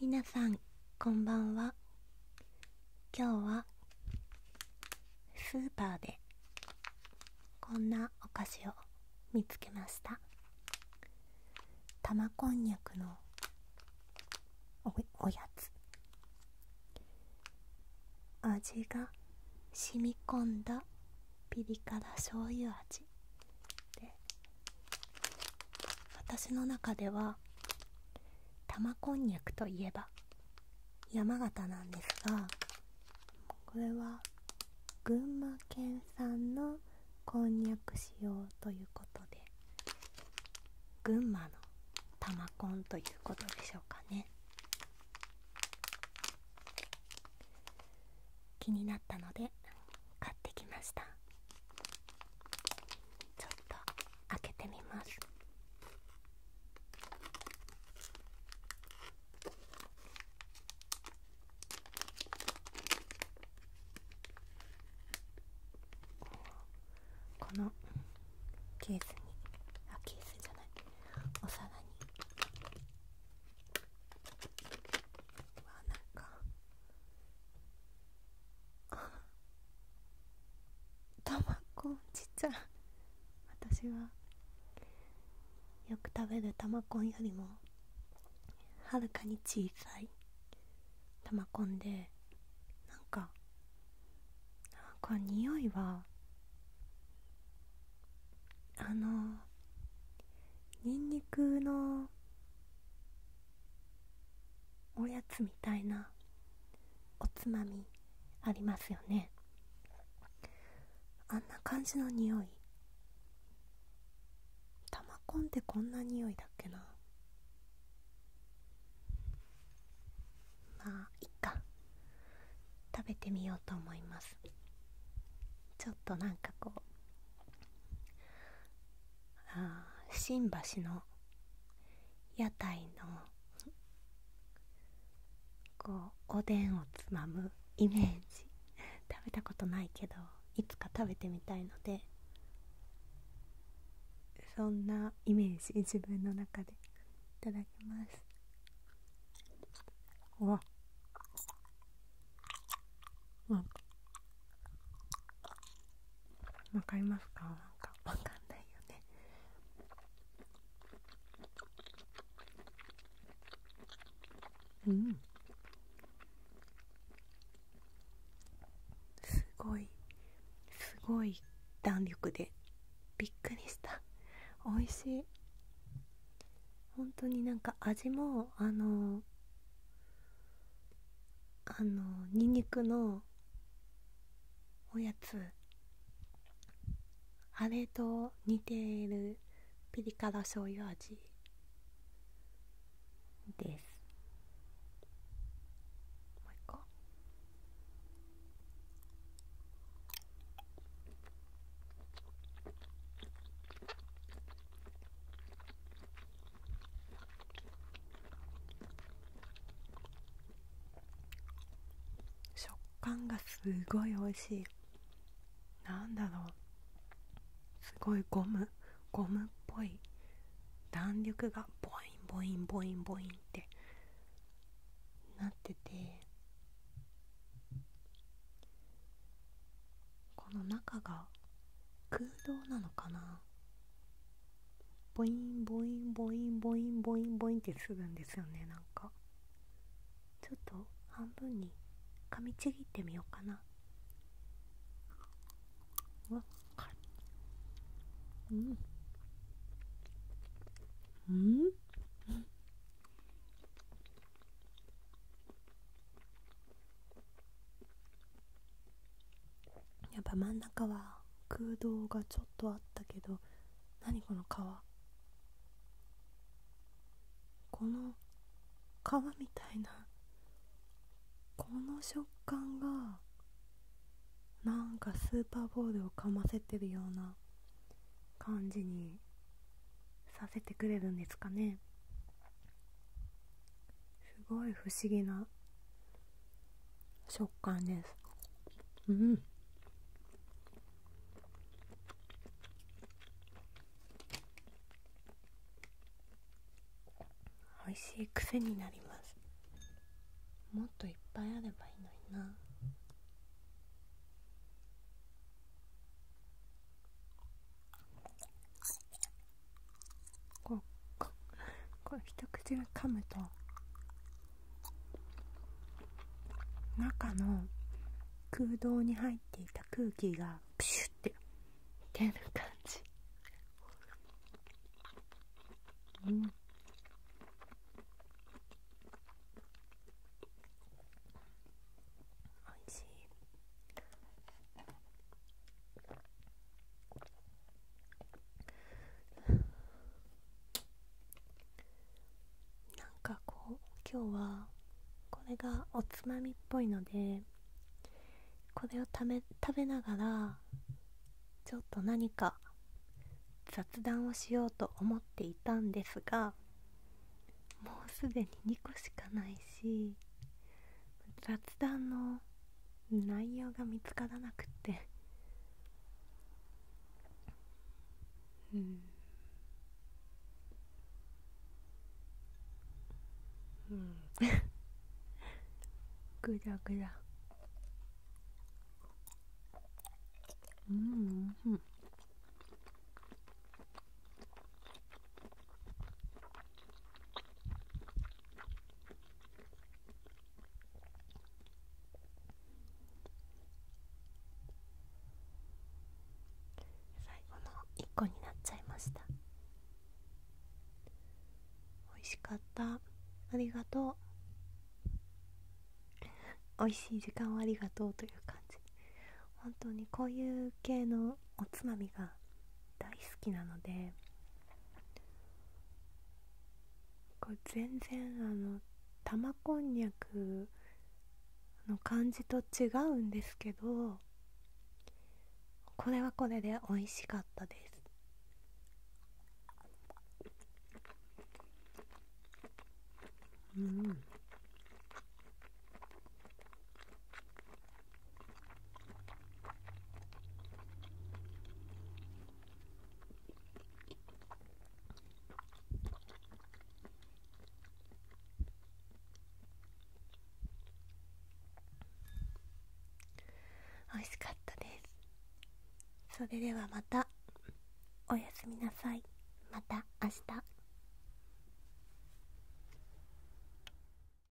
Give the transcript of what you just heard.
皆さんこんばんは今日はスーパーでこんなお菓子を見つけました玉こんにゃくのおやつ味が染み込んだピリ辛醤油味で私の中では玉こんにゃくといえば山形なんですがこれは群馬県産のこんにゃく使用ということで群馬の玉こんということでしょうかね気になので買ってきましたちょっと開けてみますこのケースにケースじゃないお皿にわなんかたまこちっちゃ私はよく食べるたまこんよりもはるかに小さいたまこんでなんかなんか匂いはあのにんにくのおやつみたいなおつまみありますよねあんな感じの匂い玉コンってこんな匂いだっけなまあいっか食べてみようと思いますちょっとなんかこうあ新橋の屋台のこうおでんをつまむイメージ食べたことないけどいつか食べてみたいのでそんなイメージ自分の中でいただきますわうんわかりますかなんかわかんないよねうんすごいすごい弾力でびっくりした美味しい本当になんか味もあのあのニンニクのおやつあれと似ているピリ辛醤油味ですもう一個食感がすごい美味しいなんだろうすごいゴムゴムっぽい弾力がボインボインボインボインってなっててこの中が空洞なのかなボインボインボインボインボインボインってするんですよねなんかちょっと半分に噛みちぎってみようかなうわっかうんうんやっぱ真ん中は空洞がちょっとあったけど何この川この川みたいなこの食感がなんかスーパーボールをかませてるような感じにさせてくれるんですかねすごい不思議な食感ですうん美味しい癖になりますもっといっぱいあればいいのになこうこう一口で噛むと中の空洞に入っていた空気がプシュッて出る感じおいしいなんかこう今日はこれがおつまみっぽいのでこれを食べながらちょっと何か雑談をしようと思っていたんですがもうすでに2個しかないし雑談の内容が見つからなくってうんうん ぐらぐらうんうん最後の1個になっちゃいました美味しかったありがとう美味しい時間をありがとうという感じ本当にこういう系のおつまみがが大好きなのでこう全然あの玉こんにゃくの感じと違うんですけどこれはこれで美味しかったですうん美味しかったですそれではまたおやすみなさいまた明日